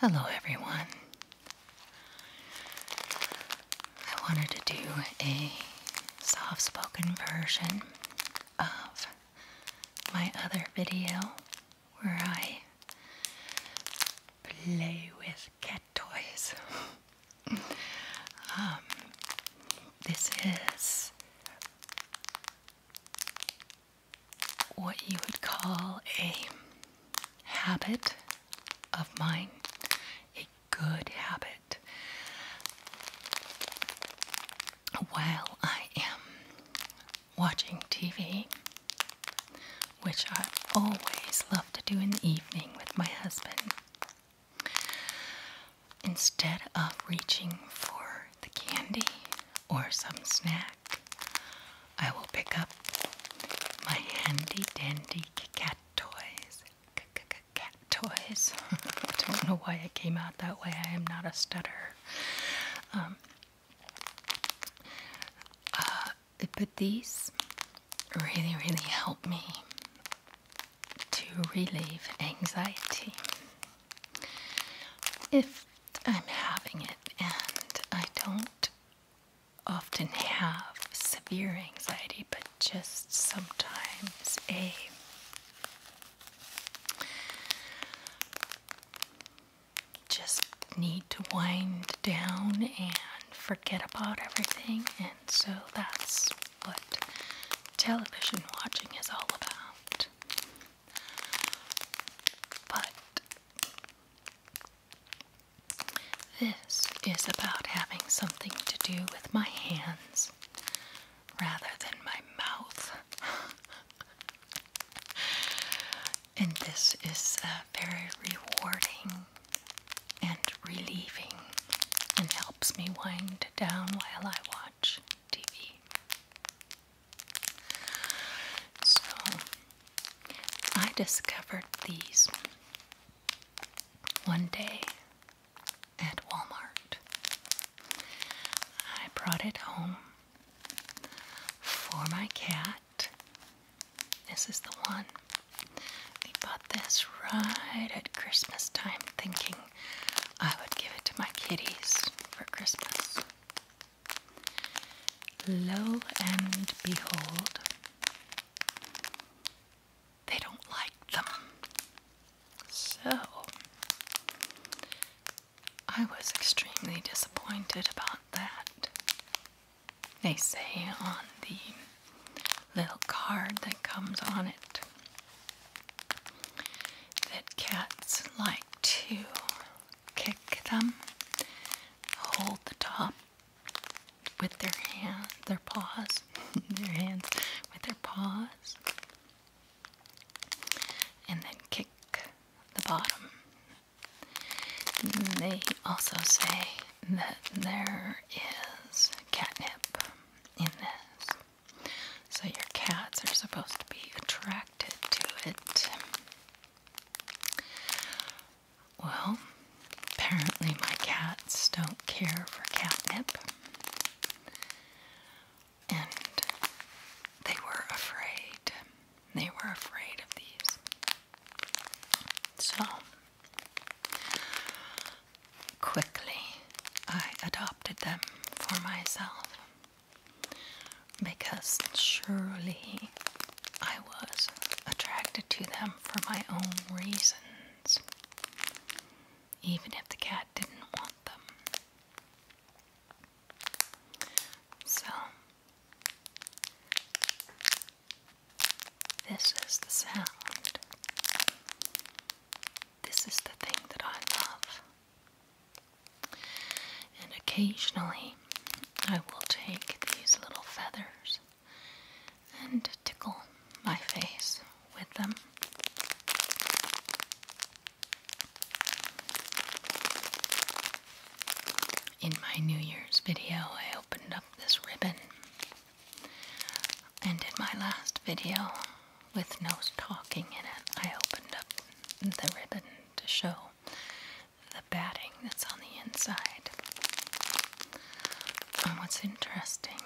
Hello, everyone. I wanted to do a soft spoken version of my other video where I play with cat toys. Um, this is what you would call a habit of mine, a good habit. While I am watching TV, which I always love to do in the evening with my husband, Instead of reaching for the candy or some snack, I will pick up my handy dandy cat toys. cat toys. I don't know why it came out that way. I am not a stutter, Um, uh, but these really, really help me to relieve anxiety. If I'm having it and I don't often have severe anxiety, but just sometimes a just need to wind down and forget about everything so that's what television watching is all about. But this is about having something to do with my hands rather than my mouth. and this is uh, very rewarding and relieving and helps me wind down while I watch TV. So I discovered these one day at Walmart. I brought it home for my cat. This is the one. We bought this right at Christmas time, thinking I would give it to my kitties for Christmas. Lo and behold, they don't like them. So, I was extremely disappointed about that. They say on the little card that comes on it that cats like to kick them, hold the top with their hands, their paws, their hands with their paws, and then kick the bottom. They also say that there is catnip in this. So your cats are supposed to be attracted to it. Well, apparently my cats don't care for catnip. And they were afraid. They were afraid of these. So Quickly, I adopted them for myself because surely I was attracted to them for my own reasons, even if the cat didn't want them. So, this is the sound this is the thing that I love. And occasionally I will take these little feathers and tickle my face with them. In my New Year's video, I opened up this ribbon and in my last video, with no talking in it, I opened up the ribbon to show the batting that's on the inside. And what's interesting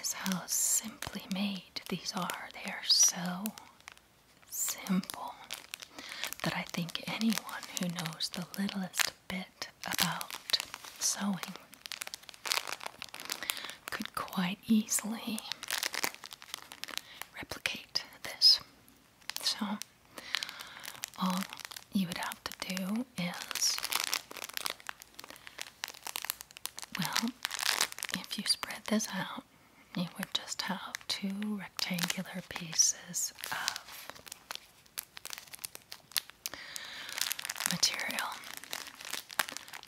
is how simply made these are. They are so simple that I think anyone who knows the littlest bit about sewing could quite easily replicate this. So, all you would have to do is, well, if you spread this out, you would just have two rectangular pieces of material,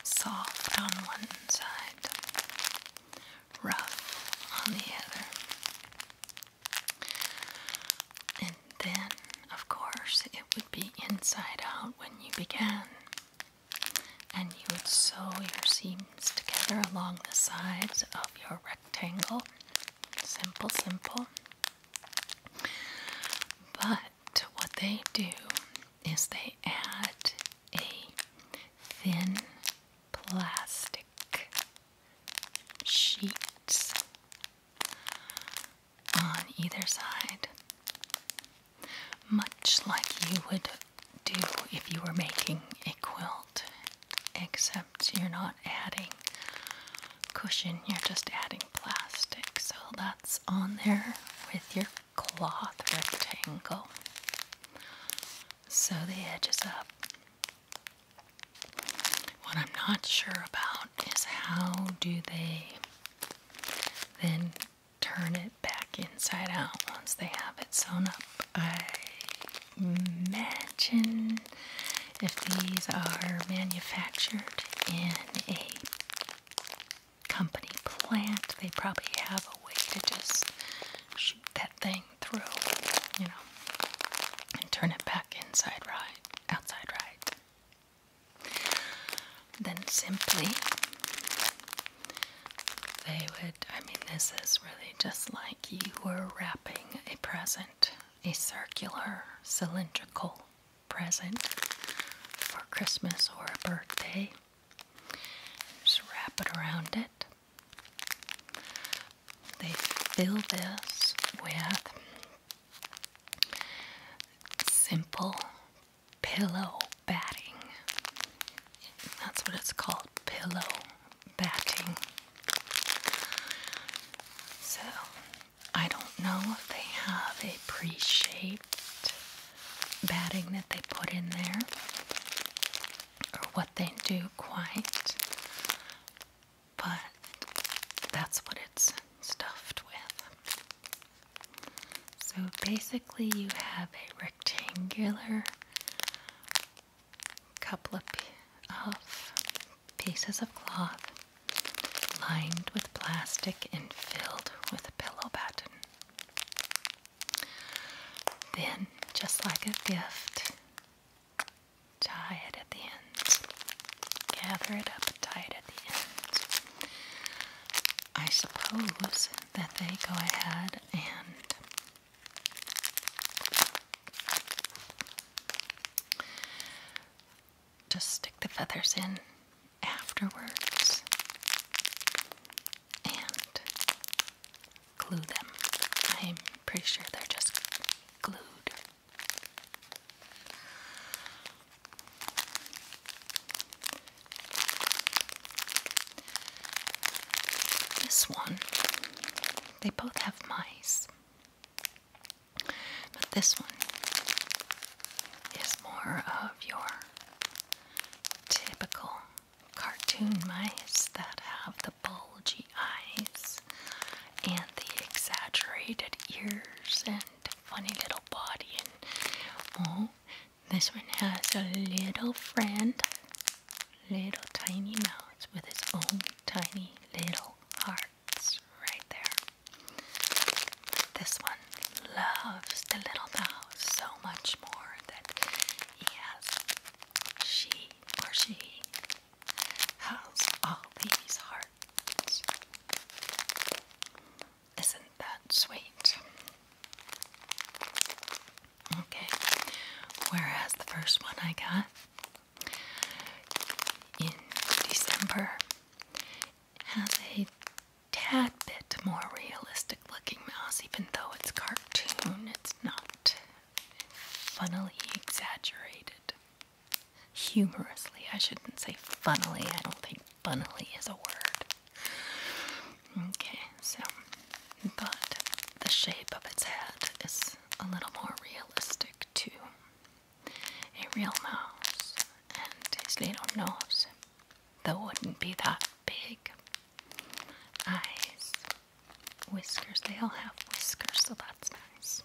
soft on one side, rough on the other. And then, of course, it would be inside out when you began. And you would sew your seams together along the sides of your rectangle. Simple, simple. But to what they do is they add a thin plastic sheet on either side, much like you would do if you were making a quilt, except you're not adding cushion, you're just adding plastic. So that's on there with your cloth rectangle. So the edges up. What I'm not sure about is how do they then turn it back inside out once they have it sewn up. I imagine if these are manufactured in a company plant, they probably have a way to just shoot that thing through, you know, and turn it back inside right, outside right. Then simply, they would, I mean, this is really just like you were wrapping a present, a circular, cylindrical present for Christmas or a birthday. Just wrap it around it. They fill this with simple pillow batting. That's what it's called pillow batting. So I don't know if they have a pre shaped batting that they put in there or what they do quite, but that's what it's stuffed with. So basically, you have a rectangular couple of pieces of cloth lined with plastic and filled with pillow batting. Then, just like a gift, tie it at the ends. Gather it up, tie it at the ends. I suppose that they go ahead and just stick the feathers in afterwards and glue them. I'm pretty sure they're just glued. This one, they both have mice. But this one is more of your typical cartoon mice that have the bulgy eyes and the exaggerated ears and funny little body. And oh, this one has a little friend, little tiny mouse with his own tiny little heart right there. This one loves the little mouse so much more that he she or she has all these hearts. Isn't that sweet? Okay, whereas the first one I got in December has a tad bit more realistic looking mouse, even though it's cartoon, it's not funnily exaggerated. Humorously, I shouldn't say funnily, I don't think funnily is a word. Okay, so, but the shape of its head is a little more realistic too a real mouse and his little nose that wouldn't be that big. Eyes, whiskers, they all have whiskers, so that's nice.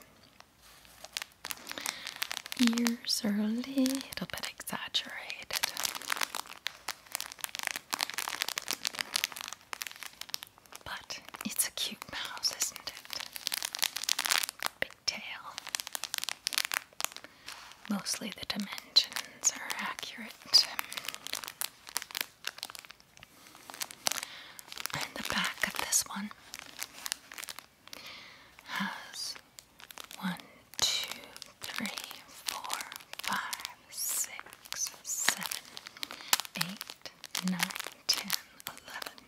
Ears are a little bit exaggerated. But it's a cute mouse, isn't it? Mostly the dimensions are accurate. the back of this one has one, two, three, four, five, six, seven, eight, nine, ten, eleven,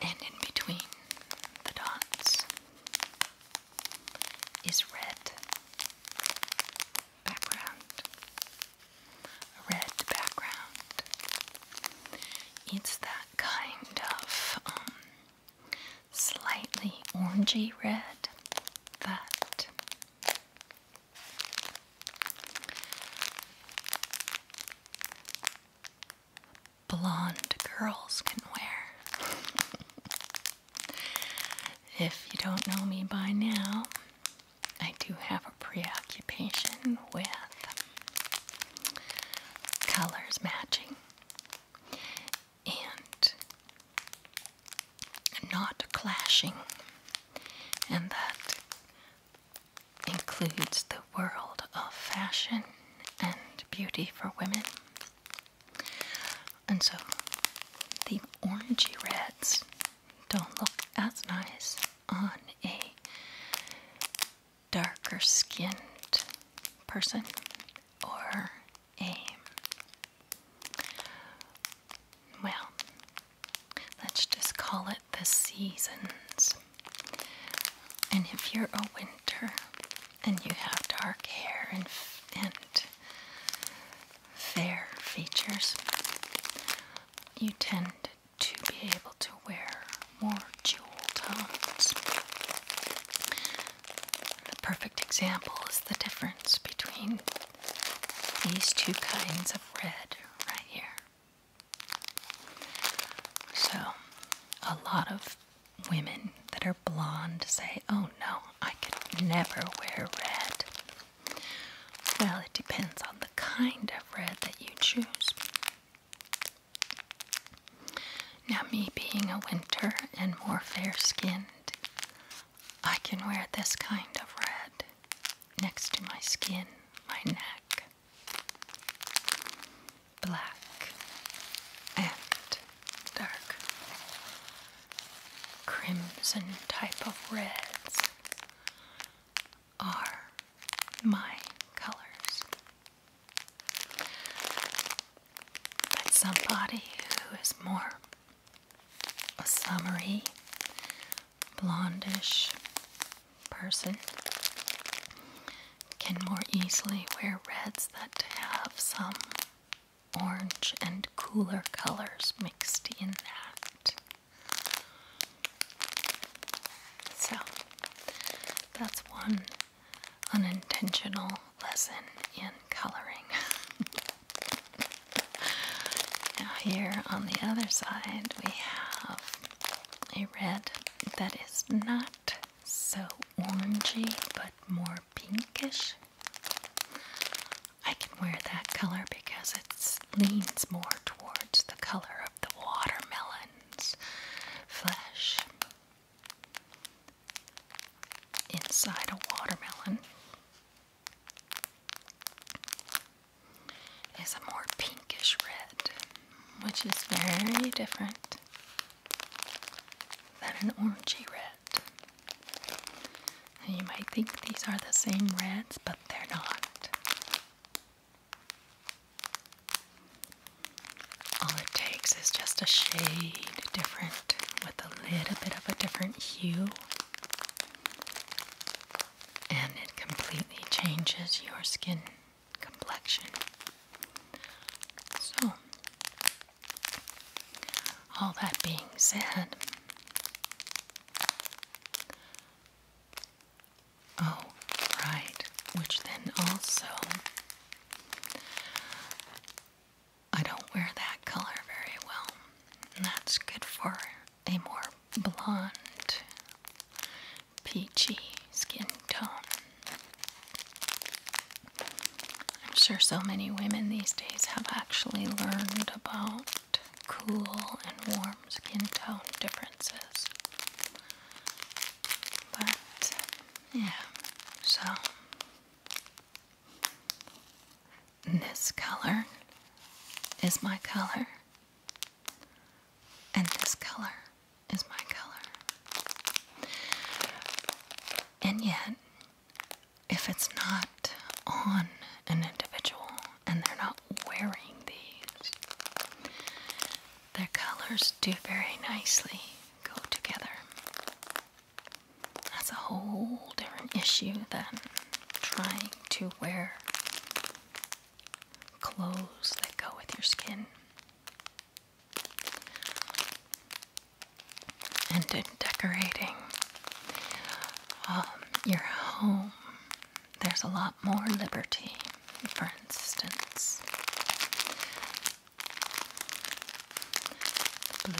and in between the dots is red background. red background. It's that kind of um, slightly orangey red that blonde girls can wear. if you don't know me by now, I do have a preoccupation with colors matching and not clashing, and that includes the world of fashion and beauty for women. And so the orangey reds don't look as nice on a darker skinned person or a well let's just call it the seasons. And if you're a winter and you have dark hair and, and fair features, you tend to be able to wear more jewel tones. The perfect example is the difference between these two kinds of red right here. So, a lot of women that are blonde say, Oh no, I could never wear red. Well, it depends on the kind of red that you choose. Now, me being a winter and more fair skinned, I can wear this kind of red next to my skin, my neck black and dark, crimson type of reds are my colors. But somebody who is more a summery, blondish person can more easily wear reds that have some orange and cooler colors mixed in that. So, that's one unintentional lesson in coloring. now, here on the other side, we have a red that is is not so orangey but more pinkish. I can wear that color because it leans more towards the color of the watermelon's flesh. Inside a watermelon is a more pinkish red which is very different than an orangey red. And you might think these are the same reds, but they're not. All it takes is just a shade different with a little bit of a different hue, and it completely changes your skin complexion. So, all that being said, oh, right, which then also, I don't wear that color very well. that's good for a more blonde peachy skin tone. I'm sure so many women these days have actually learned about cool and warm skin tone differences. But, yeah, so this color is my color, and this color is my color. And yet, if it's not on an individual and they're not wearing these, their colors do very nicely go together. That's a whole different issue than trying to wear clothes that go with your skin. And in decorating um, your home, there's a lot more liberty, for instance.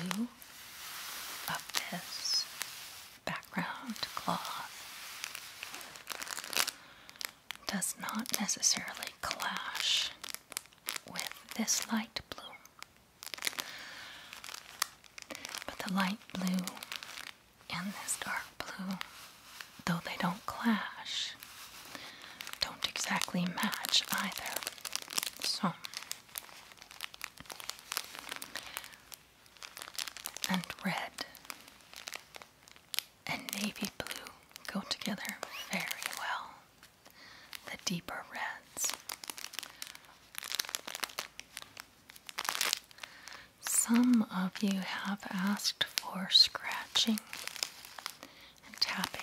blue of background cloth does not necessarily clash with this light blue. But the light blue and this dark blue, though they don't clash, don't exactly match either. So, and red and navy blue go together very well. The deeper reds. Some of you have asked for scratching and tapping.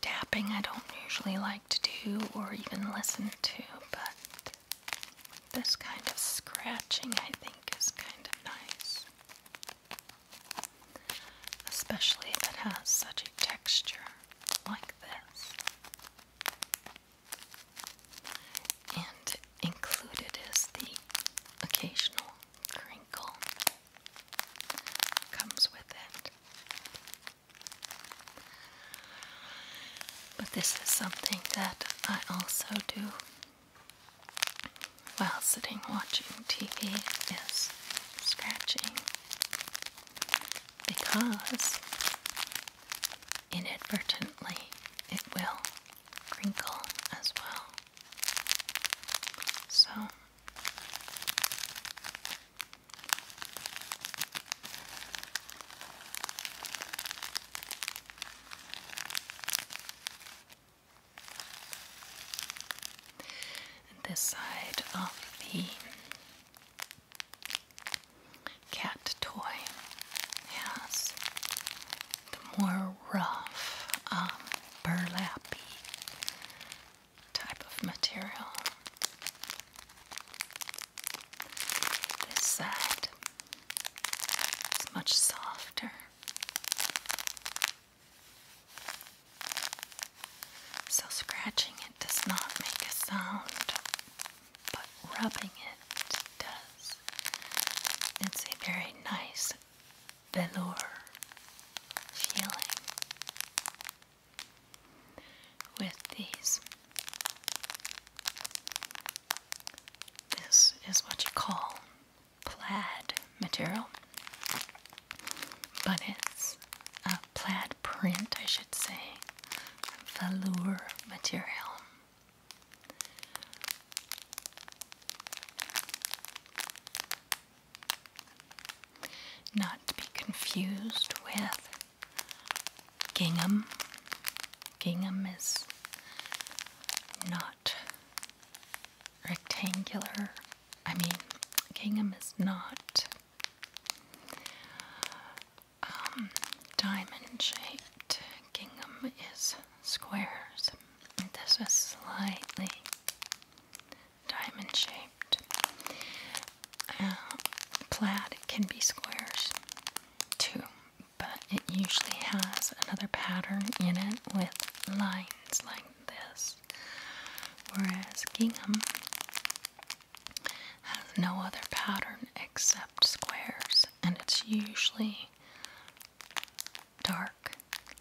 Tapping I don't usually like to do or even listen to, but this kind of scratching, I think, is kind of nice. Especially if it has such a texture like this. And included is the occasional crinkle. Comes with it. But this is something that I also do while sitting watching TV is scratching because inadvertently it will wrinkle as well. So this side of the cat toy has the more rough, um, type of material. This side it's much softer. So, scratching it does not make a sound, but rubbing it does. It's a very nice velour feeling with these this is what you call plaid material, but it's a plaid print, I should say, velour material. Not to be confused with gingham. Gingham is not rectangular. I mean, gingham is not um, diamond shaped. Gingham is squares. This is slightly diamond shaped. Uh, plaid can be squares too, but it usually has another pattern in it with lines like this, whereas gingham has no other pattern except squares, and it's usually dark,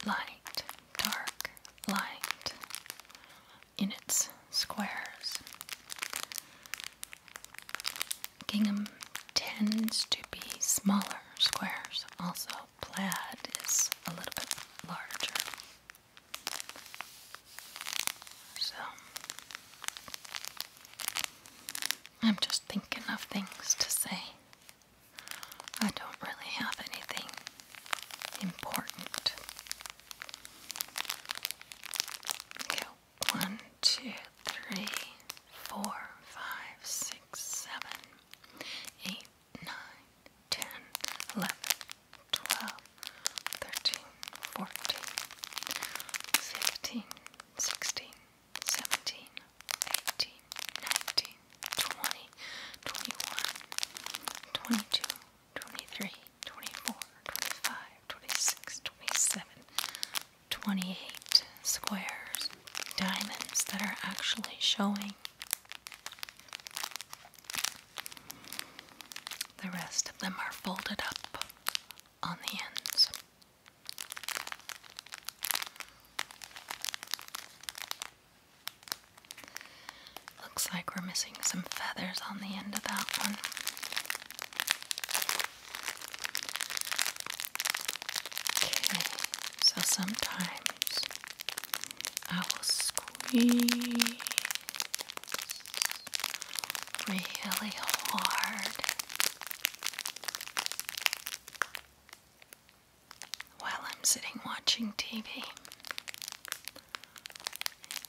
light, dark, light in its squares. Gingham tends to be smaller squares, also, plaid is a little bit larger. So, I'm just thinking of things to say. I don't really have anything important. Okay, one, two, three, four, five, six, seven, eight, nine, ten, eleven, twelve, thirteen, fourteen, fifteen, sixteen, seventeen, eighteen, nineteen, twenty, twenty-one, twenty-two, twenty-three, twenty-four, twenty-five, 26, 27, 28 squares, diamonds that are actually showing. The rest of them are folded up on the ends. Looks like we're missing some feathers on the end of that one. Okay, so sometimes I will squeeze really hard while I'm sitting watching TV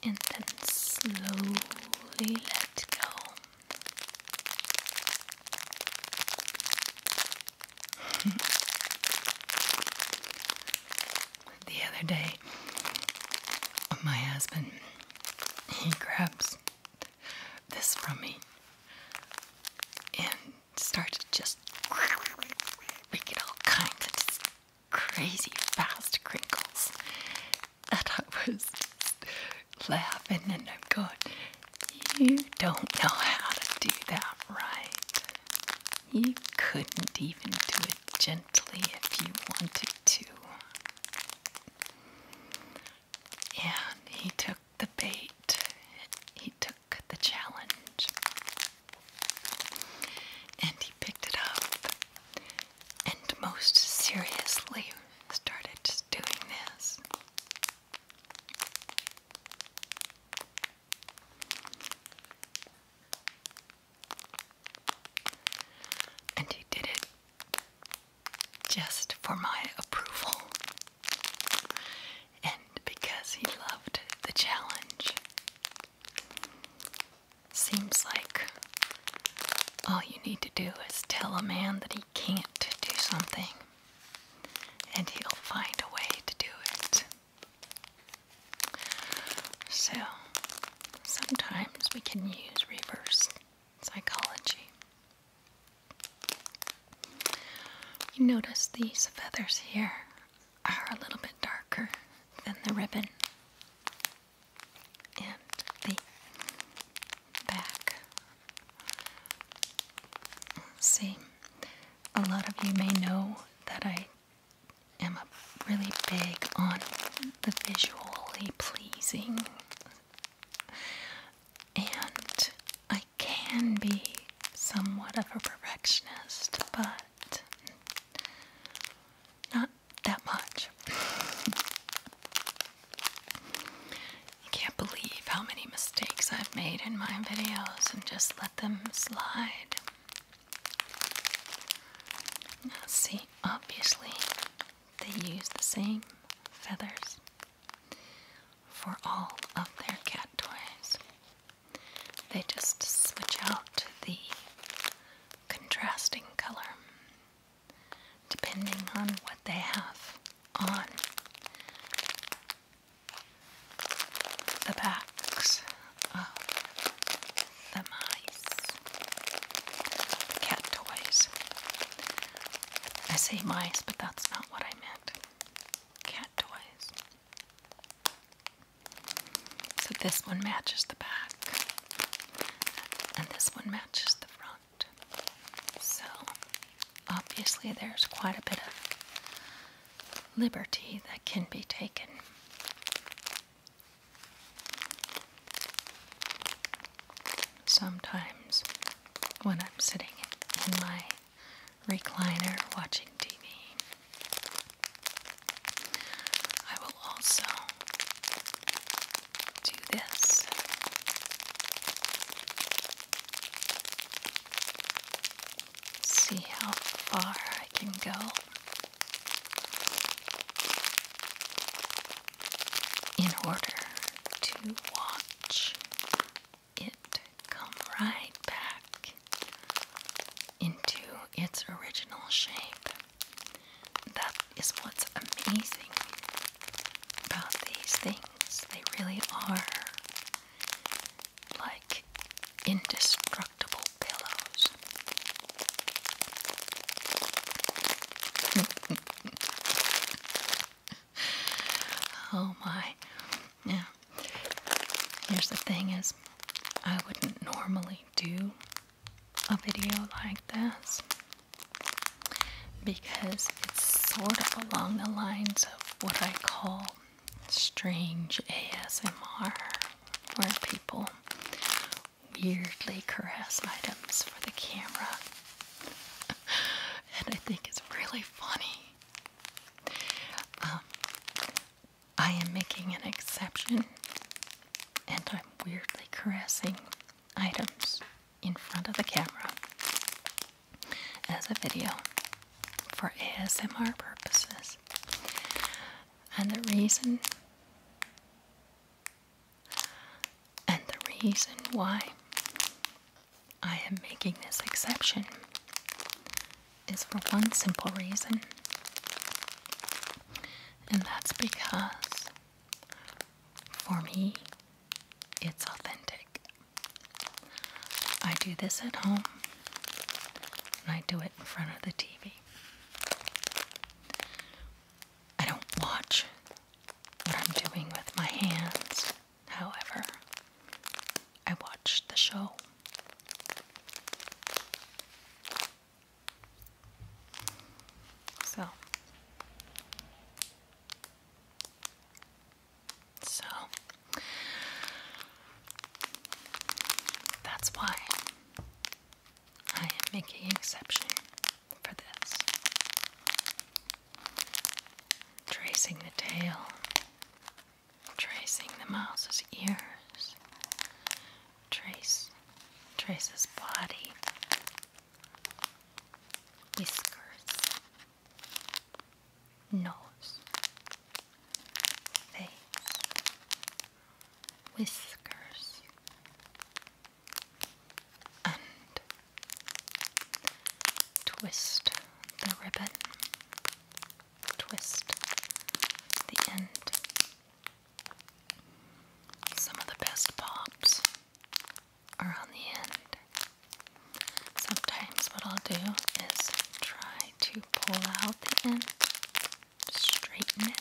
and then slowly let go the other day, my husband he grabs this from me and starts just making all kinds of crazy fast crinkles and I was laughing, and I'm going, You don't know how to do that right. You couldn't even do it gently if you wanted to. And he took the bait, he took the challenge, and he picked it up and most seriously started just doing this. And he did it just for my approval and because he loved the challenge. Seems like all you need to do is tell a man that he can't do something, and he'll find a way to do it. So, sometimes we can use reverse psychology. You notice these feathers here are a little bit darker than the ribbon and the back. See, a lot of you may know that I am a really big on the visually pleasing, and I can be somewhat of a perfectionist, but not that much. I can't believe how many mistakes I've made in my videos and just let them slide. see, obviously, they use the same feathers for all of their cat toys. They just switch out the contrasting color depending on what they have on the backs of the mice, cat toys. I say mice, but that's not what I meant. Cat toys. So this one matches the back, and this one matches the front. So, obviously, there's quite a bit of liberty that can be taken. Sometimes, when I'm sitting in my recliner watching TV, I will also do this. See how far I can go in order to watch it come right back into its original shape. That's is what's amazing about these things. They really are like indestructible pillows. oh my. Yeah. Here's the thing is I wouldn't normally do a video like this because it's sort of along the lines of what I call strange ASMR, where people weirdly caress items for the camera. and I think it's really funny. Um, I am making an exception and I'm weirdly caressing items in front of the camera as a video for ASMR purposes. And the reason and the reason why I am making this exception is for one simple reason. And that's because for me, it's authentic. I do this at home and I do it in front of the TV. I don't watch what I'm doing with my hands, however, I watch the show. So, so that's why I am making an exception for this. Tracing the tail, tracing the mouse's ears, trace, trace his body, whiskers, nose, face, whiskers, and twist the ribbon, twist the end. Some of the best pops are on the end. Sometimes what I'll do is try to pull out the end, straighten it.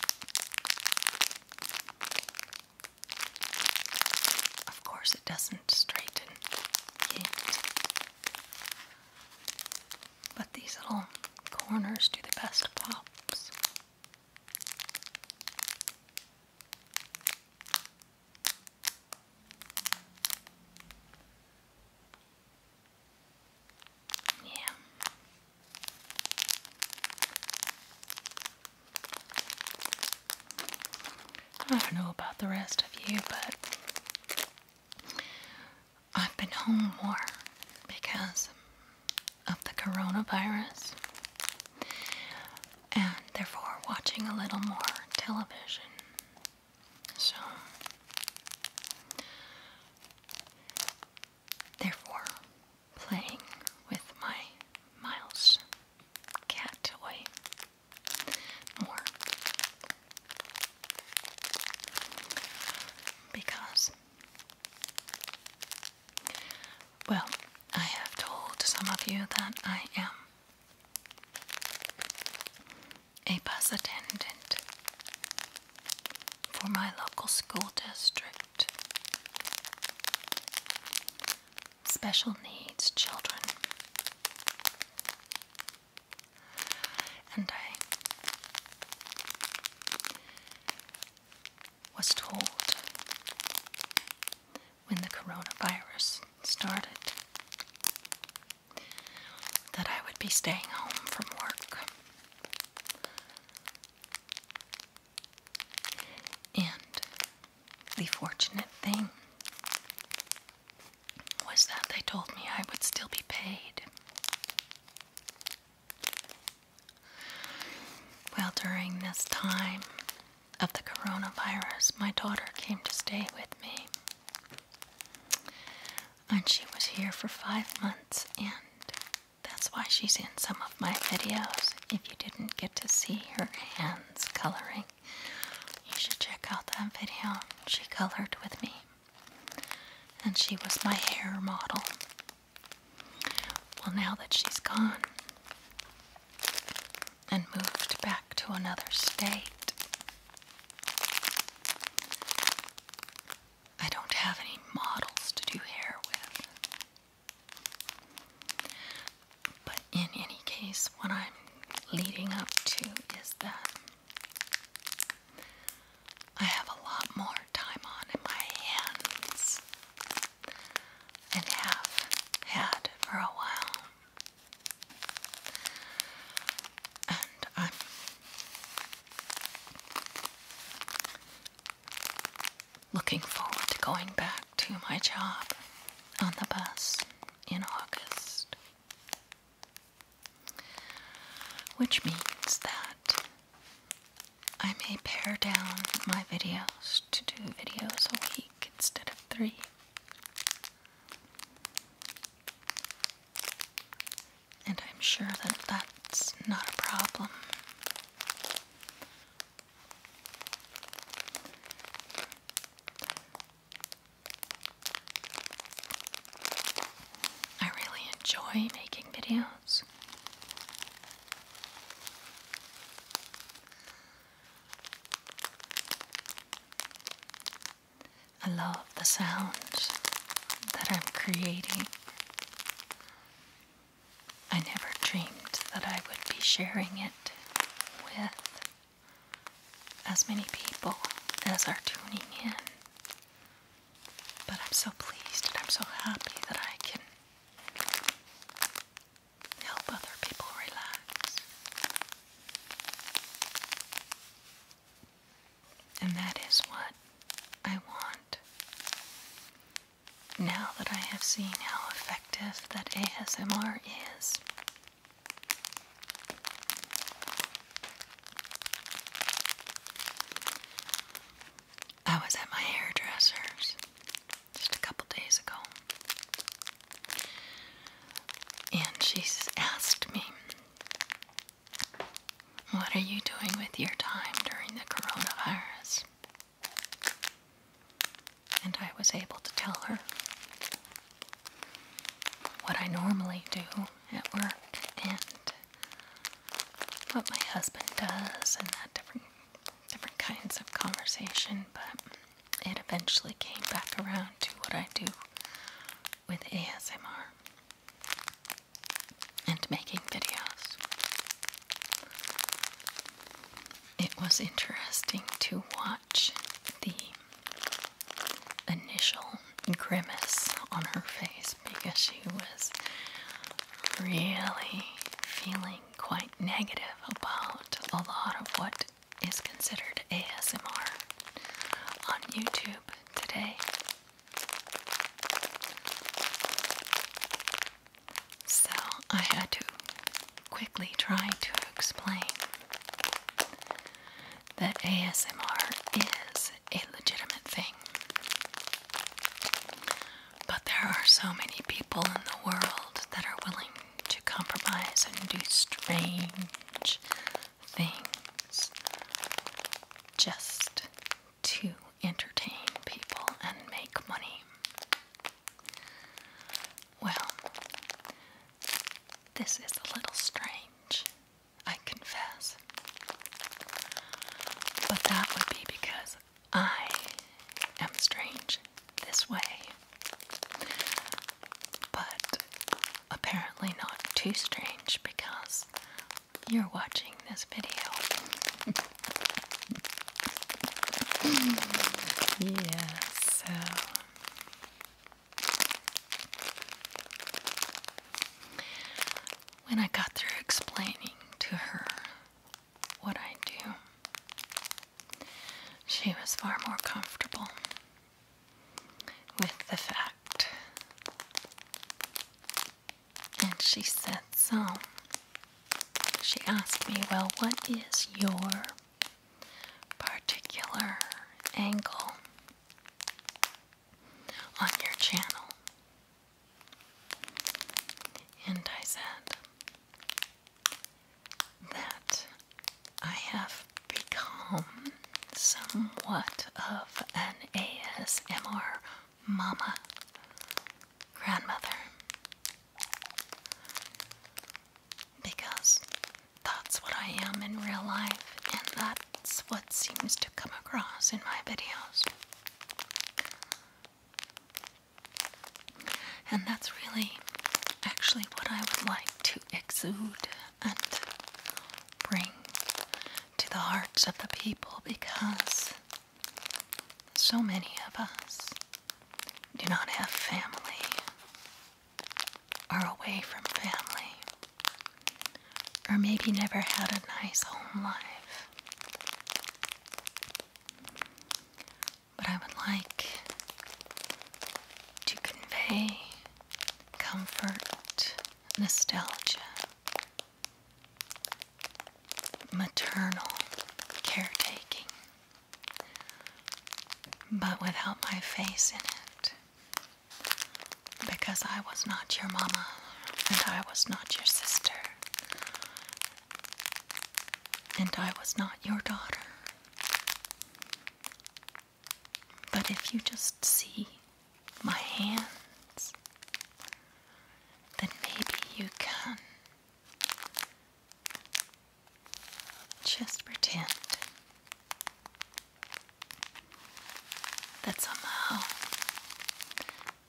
Of course, it doesn't straighten yet. But these little corners do the best pops. Yeah. I don't know about the rest of you, but I've been home more because of the coronavirus and therefore watching a little more television. So, therefore, playing with my Miles cat toy more because well, I have told some of you that I am a bus attendant for my local school district. Special needs children. And I was told when the coronavirus started that I would be staying home from work. And the fortunate thing was that they told me I would still be paid. Well, during this time of the coronavirus, my daughter came to stay with me. And she was here for five months, and that's why she's in some of my videos. If you didn't get to see her hands coloring, you should check out that video. She colored with me, and she was my hair model. Well, now that she's gone and moved back to another state, I don't have any models to do hair with. But in any case, what I'm leading up to is that I have a lot more time on in my hands and have had for a while. And I'm looking forward to going back to my job on the bus in August, which means that I may pare down my videos to do videos a week instead of three. And I'm sure that that's not a problem. I really enjoy making videos. I love the sound that I'm creating. I never dreamed that I would be sharing it with as many people as are tuning in. But I'm so pleased and I'm so happy that I can Help other people relax. And that is what I want. Now that I have seen how effective that ASMR is, I was at my hairdresser's just a couple days ago, and she asked me, What are you doing with your time during the coronavirus? And I was able to tell her what I normally do at work and what my husband does and that different different kinds of conversation, but it eventually came back around to what I do with ASMR and making videos. It was interesting to watch the initial grimace on her face because she was really feeling quite negative about a lot of what is considered ASMR on YouTube today. So I had to quickly try to explain that ASMR is a legitimate thing. But there are so many people in the world that are willing to compromise and do strange things just to entertain people and make money. Well, this is a little strange, I confess. But that would be because I am strange this way, but apparently not too strange because you're watching this video. yeah, so. When I got through explaining to her what I do. She was far more comfortable with the fact. And she said, So, she asked me, Well, what is your particular angle on your channel? And I said that I have become somewhat of an ASMR mama grandmother because that's what I am in real life, and that's what seems to come across in my videos. And that's really actually what I would like to exude and bring to the hearts of the people because so many of us do not have family, are away from family, or maybe never had a nice home life. But I would like to convey comfort, nostalgia, maternal caretaking, but without my face in it. Because I was not your mama, and I was not your sister, and I was not your daughter. But if you just see my hands, then maybe you can just pretend that somehow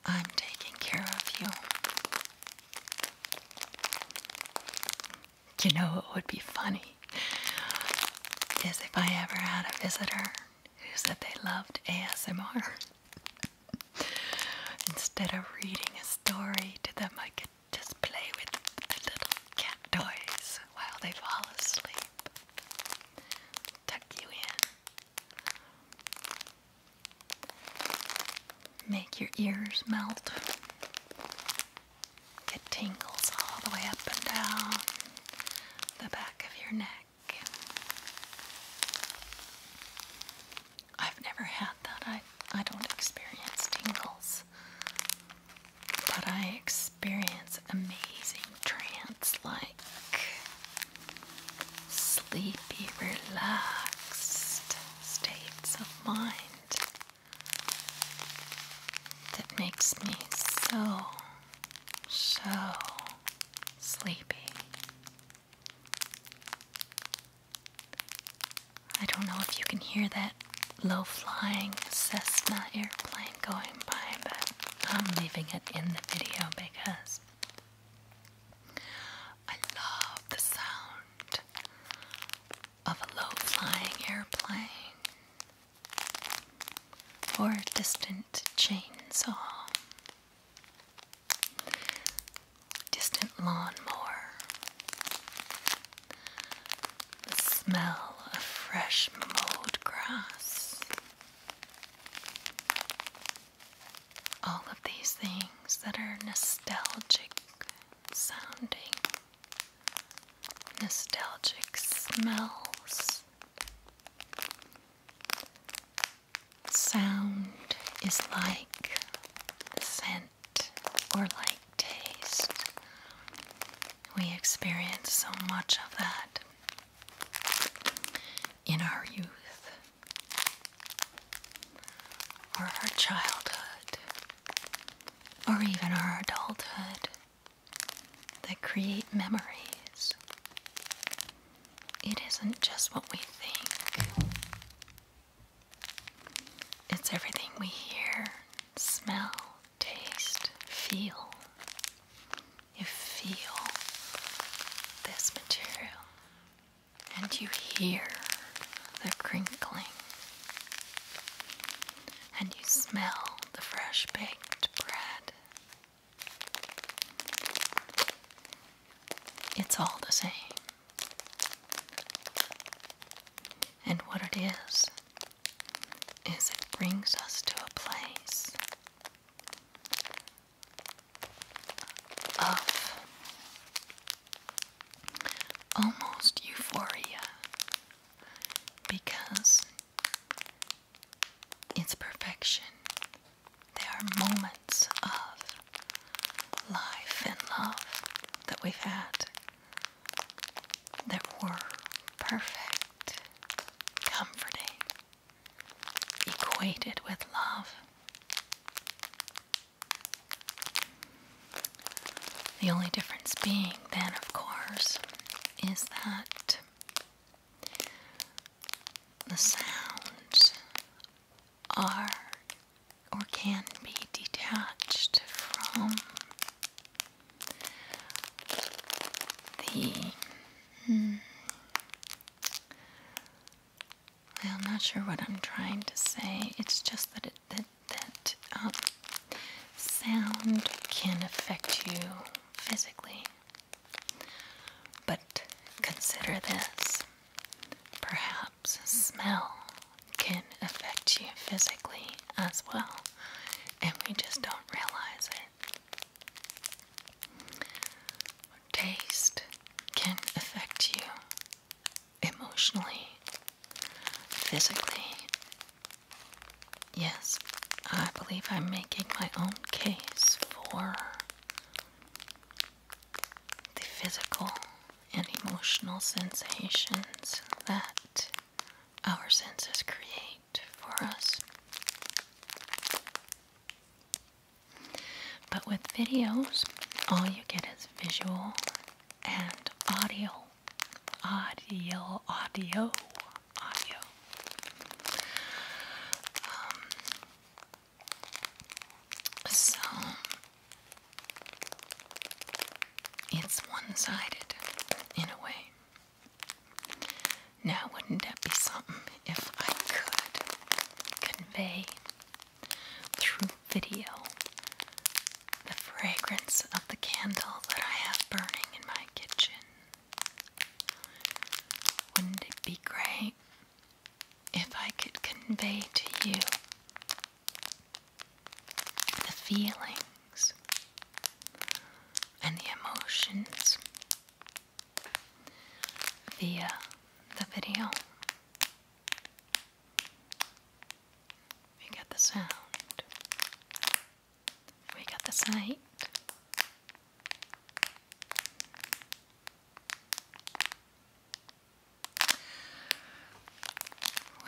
I'm taking care of you. You know what would be funny is if I ever had a visitor who said they loved ASMR. Instead of reading a story to them, I could just play with the little cat toys while they fall asleep. Tuck you in. Make your ears melt. It tingles all the way up and down the back of your neck. I've never had that. I, I don't experience tingles. But I experience amazing trance like sleepy, relaxed states of mind that makes me so, so sleepy. I don't know if you can hear that low flying Cessna airplane going by, but I'm leaving it in the video because I love the sound of a low flying airplane or distant chainsaw, distant lawnmower, the smell of fresh mowed grass all of these things that are nostalgic sounding, nostalgic smells. Sound is like scent or like taste. We experience so much of that in our youth or our childhood, or even our adulthood that create memories. It isn't just what we think, it's everything we hear, smell, taste, feel. You feel this material and you hear the crinkling, and you smell the fresh baked bread. It's all the same. And what it is, is it brings us to a place of almost euphoria because it's perfection. There are moments of life and love that we've had that were perfect, comforting, Equated with love. The only difference being, then, of course, is that the sounds are or can be detached from the. Hmm, I'm not sure what I'm trying to say. It's just that that that um, sound can affect you physically. But consider this: perhaps smell can affect you physically as well, and we just don't realize it taste can affect you emotionally, physically. Yes, I believe I'm making my own case for the physical and emotional sensations that our senses create for us. But with videos, all you get is visual and audio. Audio, audio, audio. Um, so, it's one sided in a way. Now, wouldn't that be something if I could convey through video the fragrance of the candle that I have burning in my kitchen. Wouldn't it be great if I could convey to you the feelings and the emotions via uh, the video. We got the sound. We got the sight.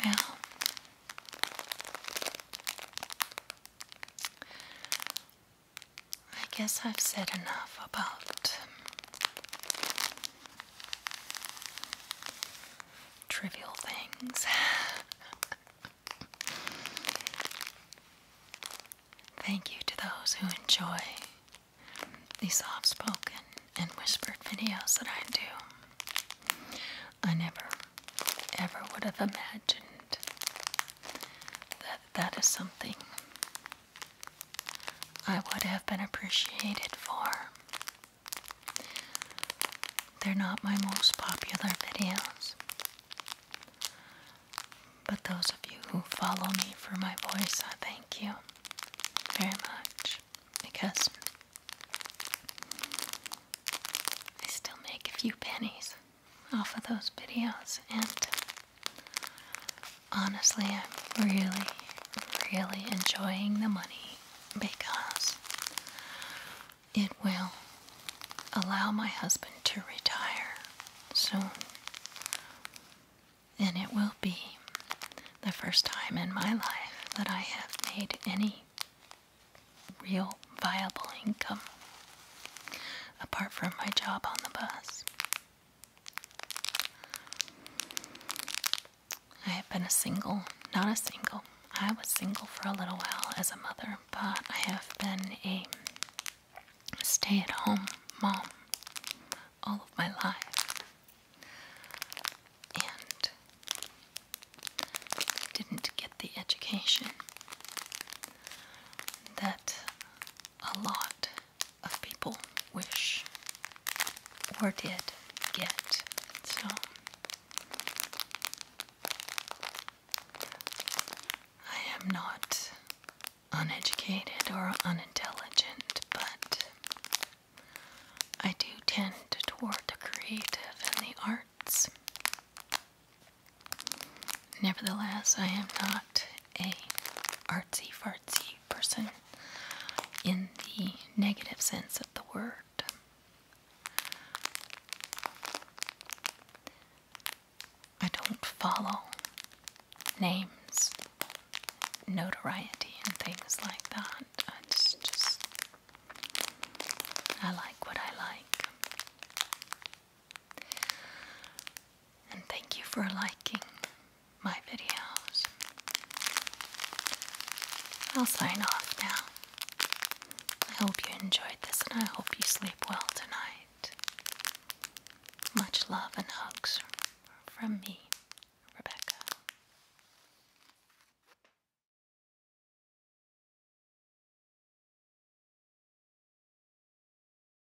Well, I guess I've said enough about trivial things. Thank you to those who enjoy these soft spoken and whispered videos that I do. I never, ever would have imagined that that is something I would have been appreciated for. They're not my most popular videos, but those of you who follow me for my voice, I thank you very much because I still make a few pennies off of those videos, and Honestly, I'm really, really enjoying the money because it will allow my husband to retire soon. And it will be the first time in my life that I have made any real viable income apart from my job on the bus. I have been a single, not a single. I was single for a little while as a mother, but I have been a stay at home mom all of my life. And didn't get the education that a lot of people wish or did get. So I am not uneducated or unintelligent, but I do tend toward the creative and the arts. Nevertheless, I am not a artsy fartsy person in the negative sense of the word. I don't follow names, notoriety, and things like that. I just, I like what I like. And thank you for liking my videos. I'll sign off now. I hope you enjoyed this and I hope you sleep well tonight. Much love and hugs from me, Rebecca.